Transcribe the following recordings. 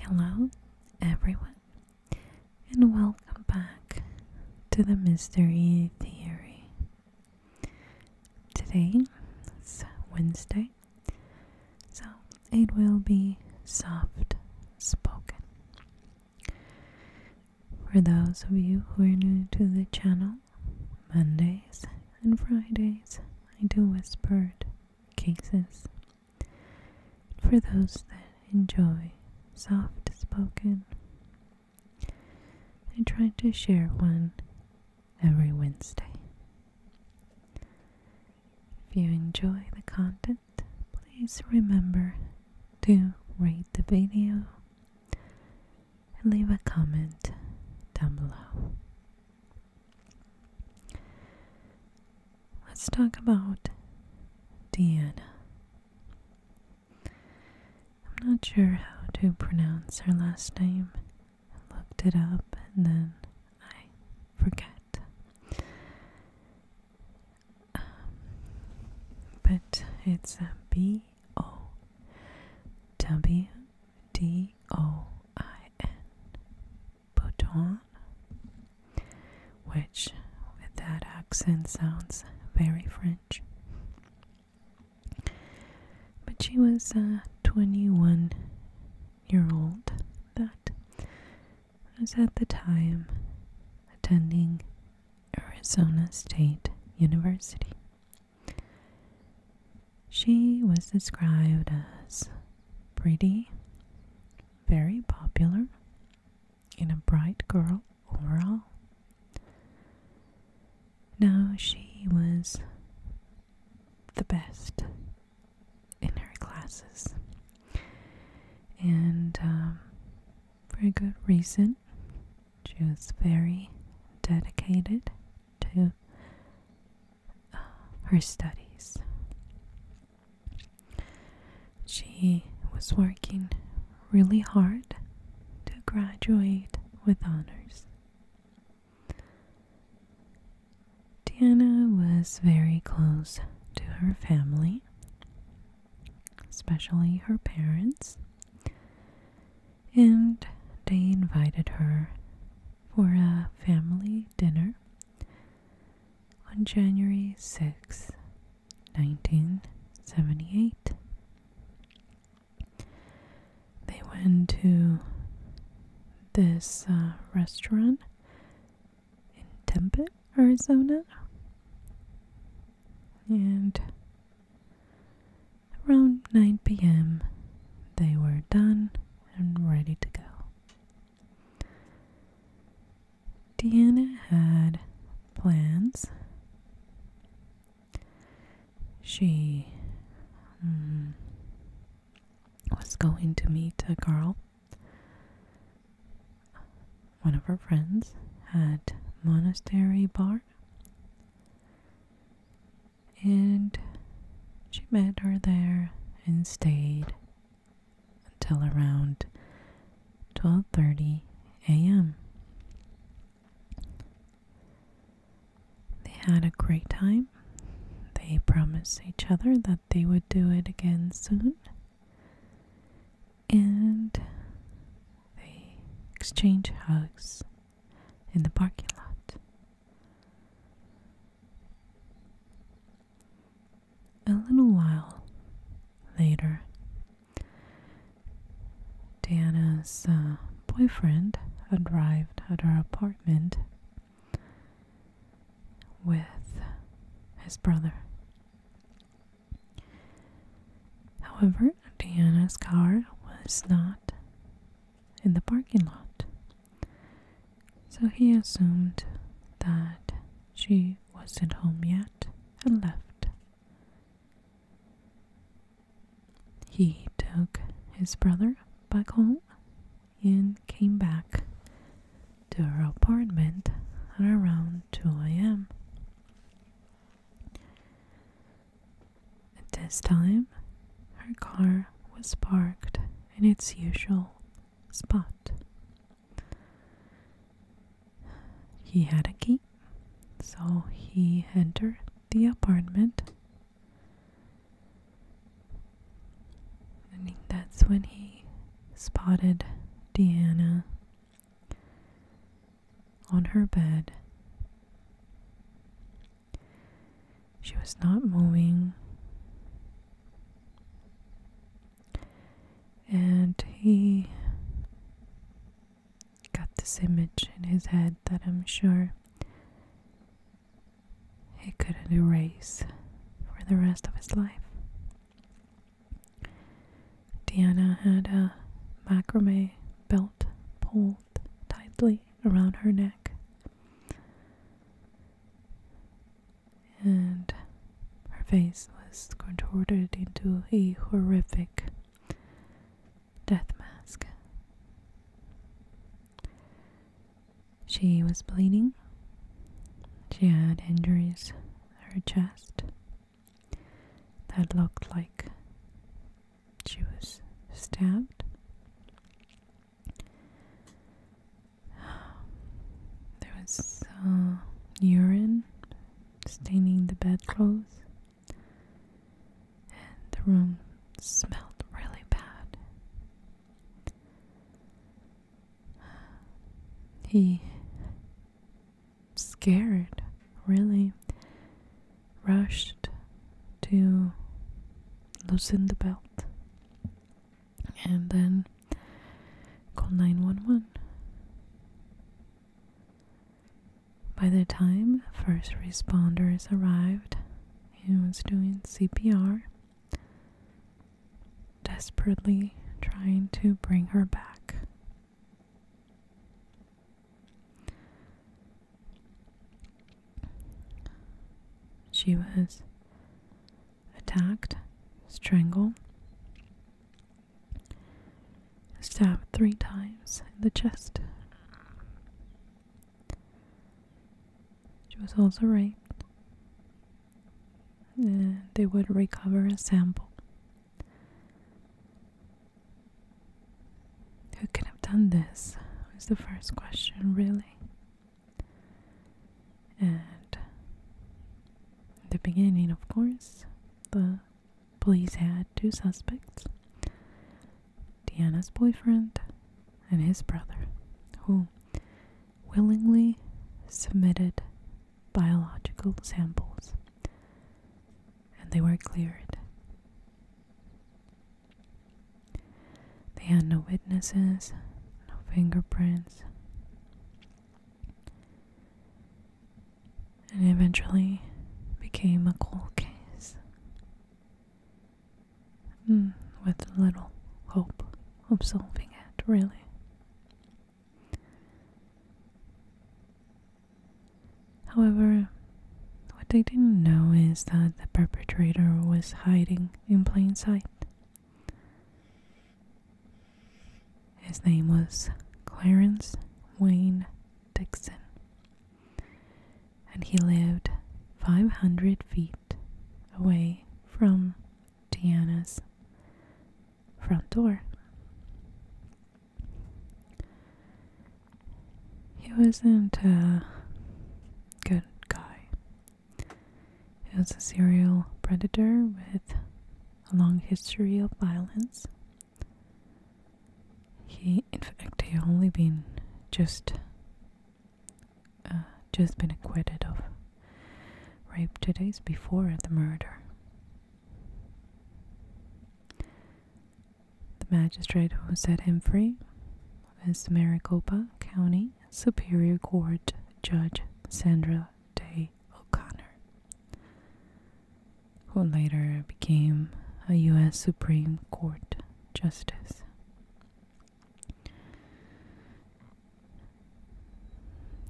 Hello, everyone, and welcome back to the Mystery Theory. Today it's Wednesday, so it will be soft spoken. For those of you who are new to the channel, Mondays and Fridays I do whispered cases. For those that enjoy soft spoken, I try to share one every Wednesday. If you enjoy the content, please remember to rate the video and leave a comment down below. Let's talk about Deanna. I'm not sure how to pronounce her last name. looked it up and then I forget but it's a B O W D O I N Bouton, which with that accent sounds very French. But she was a 21 year old that was at the time attending Arizona State University. She was described as pretty, very popular, and a bright girl overall. Now she was the best in her classes and um, for a good reason. She was very dedicated to uh, her studies. She was working really hard to graduate with honors. Diana was very close to her family especially her parents, and they invited her for a family dinner on January sixth, 1978. They went to this uh, restaurant in Tempe, Arizona, and around 9 p.m. they were done and ready to go. Deanna had plans. She mm, was going to meet a girl one of her friends had monastery bar and she met her there and stayed until around 12:30 a.m. They had a great time. They promised each other that they would do it again soon and they exchange hugs in the parking lot. A little while later, Diana's uh, boyfriend arrived at her apartment with his brother. However, Diana's car was not in the parking lot. So he assumed that she wasn't home yet and left. He took his brother back home and came back to her apartment at around 2 a.m. At this time, her car was parked in its usual spot. He had a key, so he entered the apartment. And that's when he spotted Deanna on her bed. She was not moving. And he got this image in his head that I'm sure he couldn't erase for the rest of his life. Diana had a macrame belt pulled tightly around her neck, and her face was contorted into a horrific death mask. She was bleeding. She had injuries her chest, that looked like she was stabbed. There was uh, urine staining the bedclothes, and the room smelled really bad. He scared, really rushed to loosen the belt and then call 911. By the time first responders arrived, he was doing CPR, desperately trying to bring her back she was attacked, strangled, stabbed three times in the chest. She was also raped. and they would recover a sample who could have done this? Was the first question, really. And the beginning, of course, the police had two suspects Deanna's boyfriend and his brother, who willingly submitted biological samples and they were cleared. They had no witnesses, no fingerprints. And eventually became a cold case. Hmm, with little hope of solving it, really. However, what they didn't know is that the perpetrator was hiding in plain sight. His name was Clarence Wayne Dixon, and he lived 500 feet away from Diana's front door. He wasn't a good guy. He was a serial predator with a long history of violence. He, in fact, had only been just, uh, just been acquitted of rape two days before the murder. The magistrate who set him free was Maricopa County Superior Court Judge Sandra Day O'Connor, who later became a U.S. Supreme Court Justice.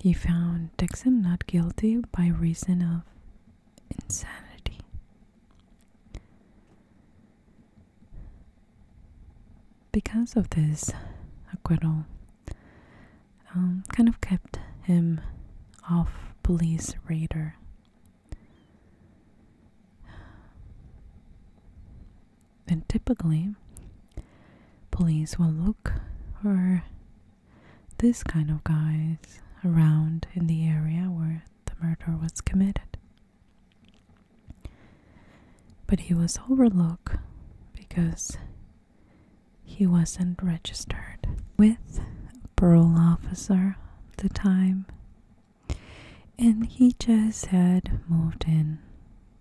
He found Dixon not guilty by reason of insanity. Because of this acquittal, um, kind of kept him off police radar. And typically, police will look for this kind of guys around in the area where the murder was committed. But he was overlooked because he wasn't registered with a parole officer at the time, and he just had moved in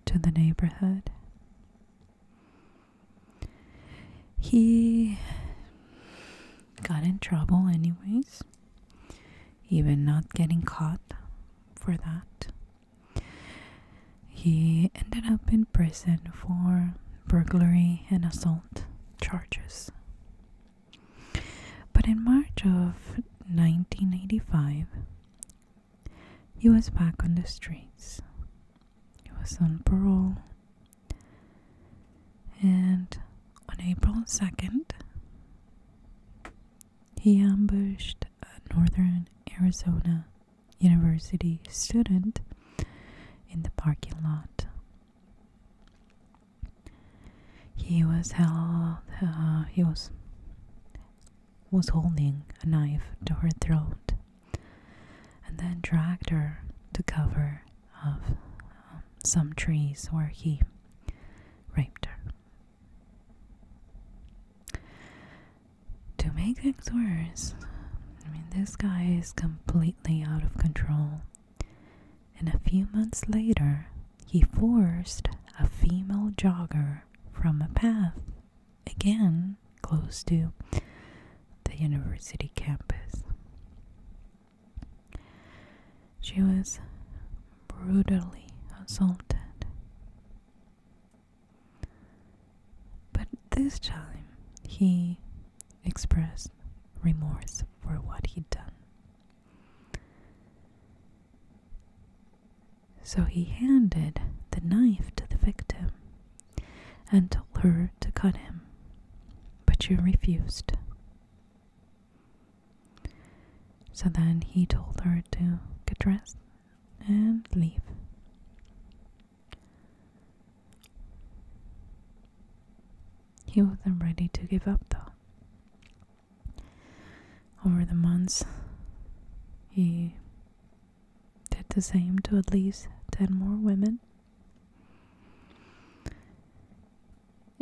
to the neighborhood. He got in trouble, anyways, even not getting caught for that. He ended up in prison for burglary and assault charges. But in March of 1985, he was back on the streets. He was on parole and on April 2nd, he ambushed a Northern Arizona University student in the parking lot. He was held. Uh, he was was holding a knife to her throat and then dragged her to cover of um, some trees where he raped her. To make things worse, I mean, this guy is completely out of control. And a few months later, he forced a female jogger from a path, again close to the university campus. She was brutally assaulted. But this time he expressed remorse for what he'd done. So he handed the knife to the victim and told her to cut him, but you refused. So then he told her to get dressed and leave. He wasn't ready to give up though. Over the months, he did the same to at least 10 more women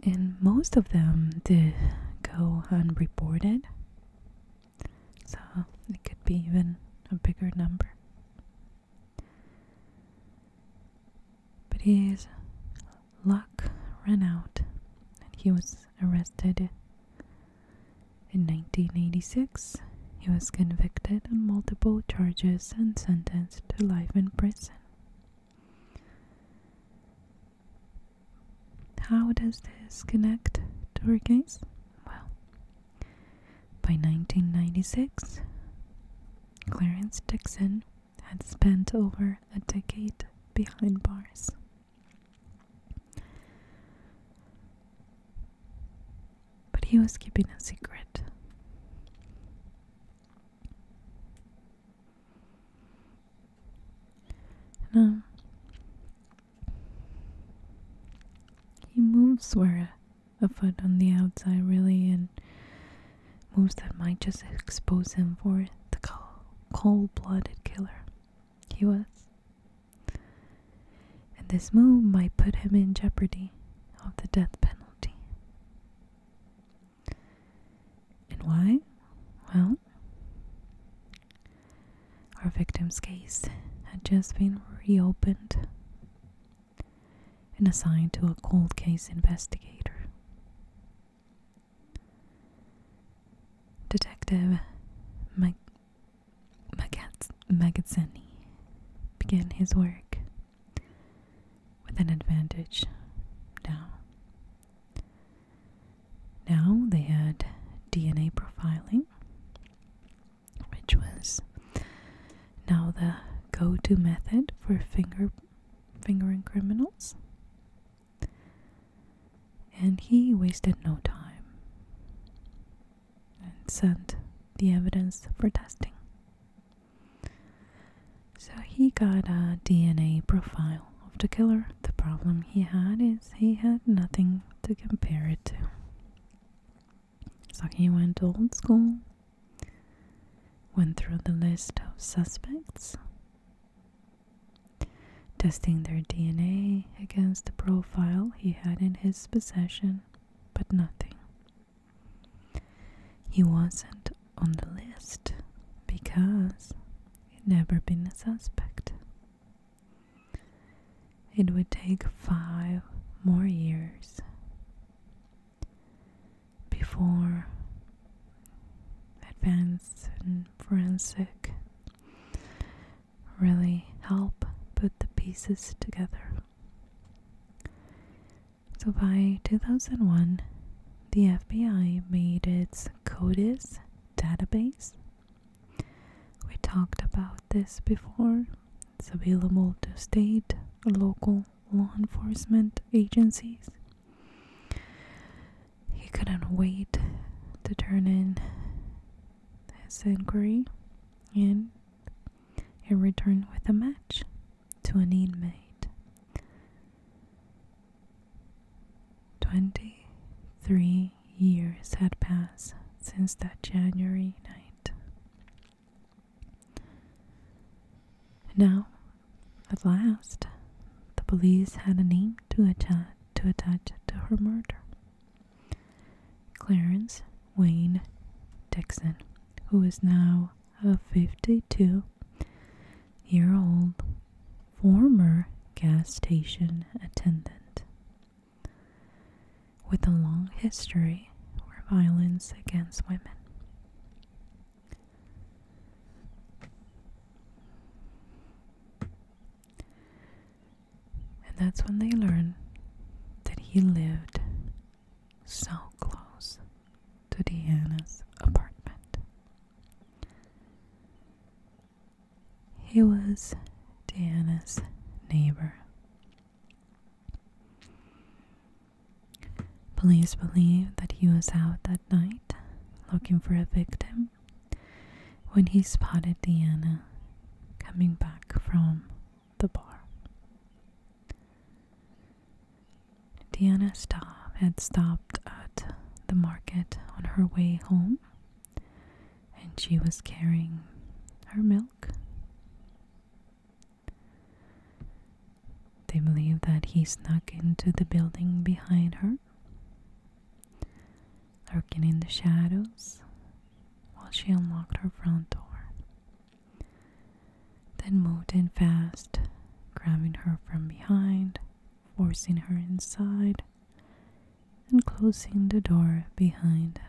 and most of them did go unreported, so it could be even a bigger number. But his luck ran out, and he was arrested in 1986. He was convicted on multiple charges and sentenced to life in prison. How does this connect to her case? Well, by 1996, Clarence Dixon had spent over a decade behind bars. But he was keeping a secret. And, he moves where a foot on the outside really and moves that might just expose him for the cold-blooded killer he was. And this move might put him in jeopardy of the death penalty. And why? Well, our victim's case had just been reopened and assigned to a cold case investigator. Detective Mag- Magazzini began his work with an advantage now. Now they had DNA profiling, which was now the go to method for finger, fingering criminals. And he wasted no time and sent the evidence for testing. So he got a DNA profile of the killer. The problem he had is he had nothing to compare it to. So he went old school, went through the list of suspects, testing their DNA against the profile he had in his possession, but nothing. He wasn't on the list because he'd never been a suspect. It would take five more years before advanced forensic really help put the pieces together. So by 2001, the FBI made its CODIS database. We talked about this before. It's available to state, local law enforcement agencies. He couldn't wait to turn in his inquiry and and returned with a match to an inmate. Twenty three years had passed since that January night. Now, at last, the police had a name to attach to, her murder. Clarence Wayne Dixon, who is now a 52 year old former gas station attendant with a long history of violence against women. And that's when they learned that he lived so close to Diana's apartment. He was Diana's neighbor. Police believe that he was out that night looking for a victim when he spotted Diana coming back from the bar. Diana Staub had stopped at the market on her way home, and she was carrying her milk. They believe that he snuck into the building behind her, lurking in the shadows while she unlocked her front door. Then moved in fast, grabbing her from behind, forcing her inside, and closing the door behind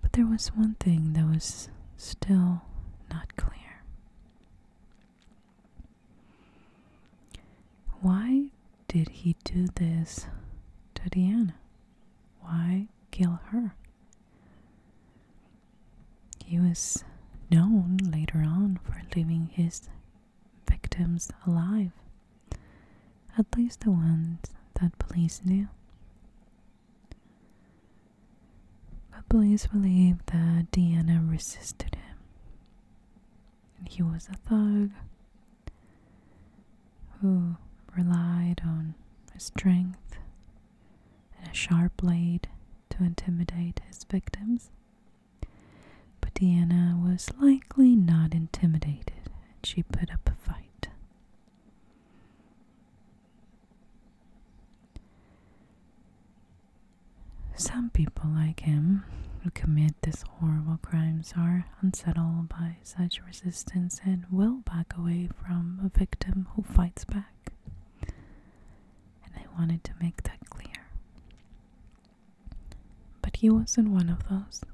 But there was one thing that was still not clear. Why did he do this to Diana? Why kill her? He was known later on for leaving his victims alive, at least the ones that police knew. But police believe that Deanna resisted him. And he was a thug who relied on his strength and a sharp blade to intimidate his victims. But Diana was likely not intimidated, and she put up a fight. Some people like him who commit these horrible crimes are unsettled by such resistance and will back away from a victim who fights back. And I wanted to make that clear. But he wasn't one of those.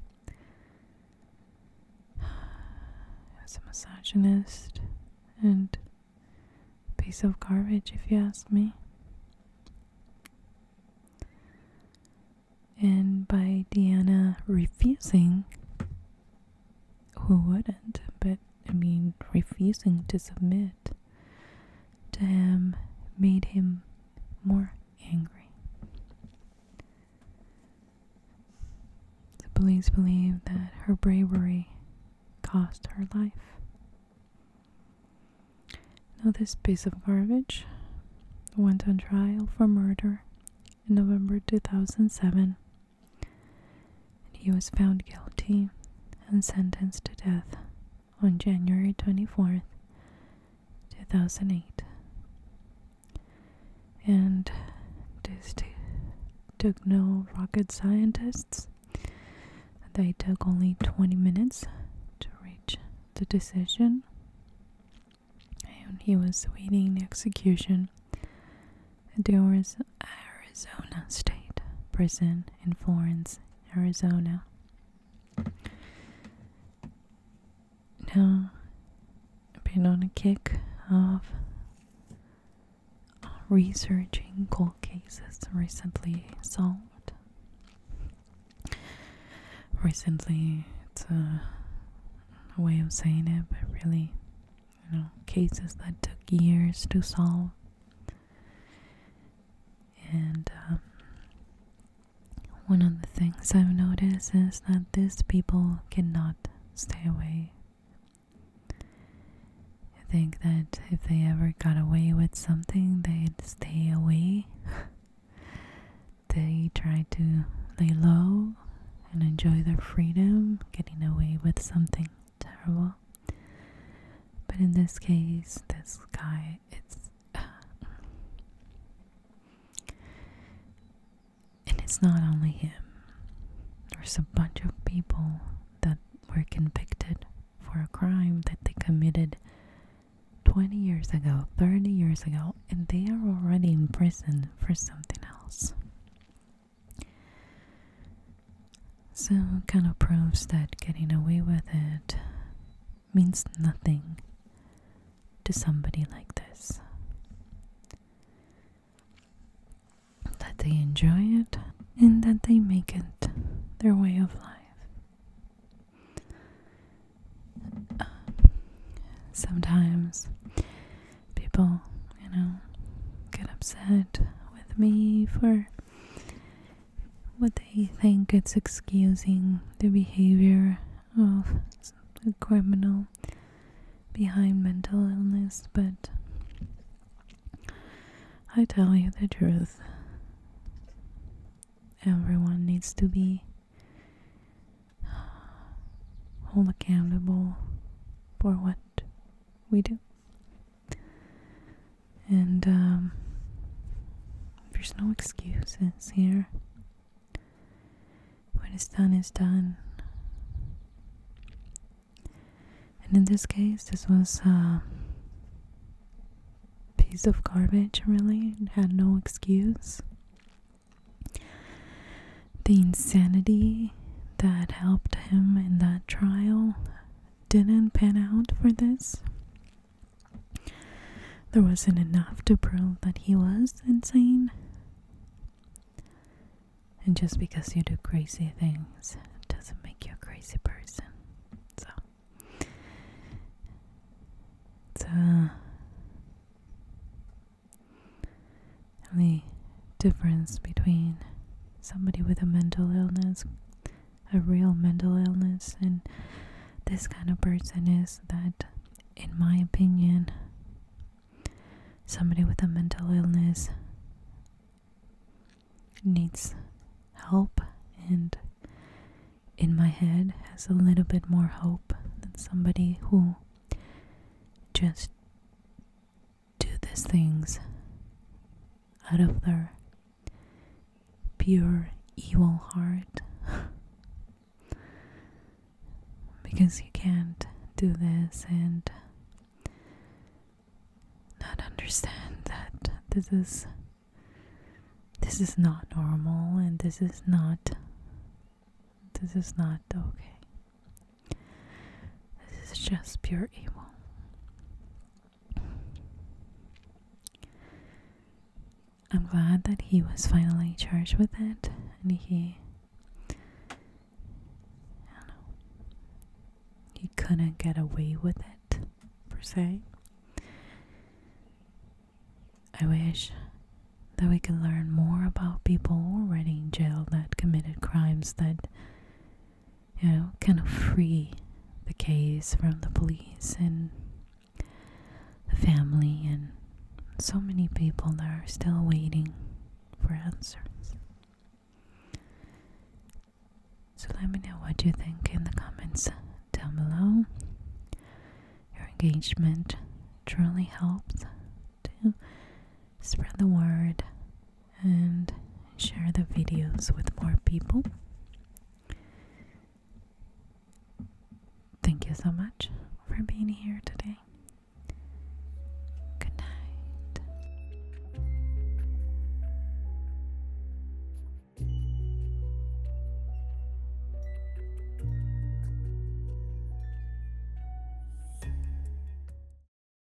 He a misogynist and a piece of garbage, if you ask me. And by Deanna refusing who wouldn't? But I mean, refusing to submit to him made him more angry. The police believe that her bravery cost her life. Now, this piece of garbage went on trial for murder in November 2007 he was found guilty and sentenced to death on January 24th, 2008. And this took no rocket scientists. They took only 20 minutes to reach the decision. And he was awaiting execution Adore's Arizona State Prison in Florence, Arizona. Now, been on a kick of researching cold cases recently solved. Recently, it's a way of saying it, but really, you know, cases that took years to solve. And um, one of the things I've noticed is that these people cannot stay away. I think that if they ever got away with something, they'd stay away. they try to lay low and enjoy their freedom, getting away with something terrible. But in this case, this guy, it's. and it's not only him, there's a bunch of people that were convicted for a crime that they committed 20 years ago, 30 years ago, and they are already in prison for something else. So it kind of proves that getting away with it means nothing to somebody like this. That they enjoy it and that they make it their way of life. Uh, sometimes people, you know, get upset with me for what they think it's excusing the behavior of a criminal behind mental illness, but I tell you the truth. Everyone needs to be hold accountable for what we do. And um, there's no excuses here. When it's done, it's done. And in this case, this was a uh, piece of garbage, really. It had no excuse the insanity that helped him in that trial didn't pan out for this. There wasn't enough to prove that he was insane. And just because you do crazy things doesn't make you a crazy person. So it's uh, the difference between somebody with a mental illness, a real mental illness, and this kind of person is that, in my opinion, somebody with a mental illness needs help and in my head has a little bit more hope than somebody who just do these things out of their pure evil heart. because you can't do this and not understand that this is this is not normal and this is not this is not okay this is just pure evil. I'm glad that he was finally charged with it and he He couldn't get away with it per se. I wish that we could learn more about people already in jail that committed crimes that you know, kind of free the case from the police and the family and so many people that are still waiting for answers. So let me know what you think in the comments down below. Your engagement truly helps to spread the word and share the videos with more people. Thank you so much for being here today. Good night.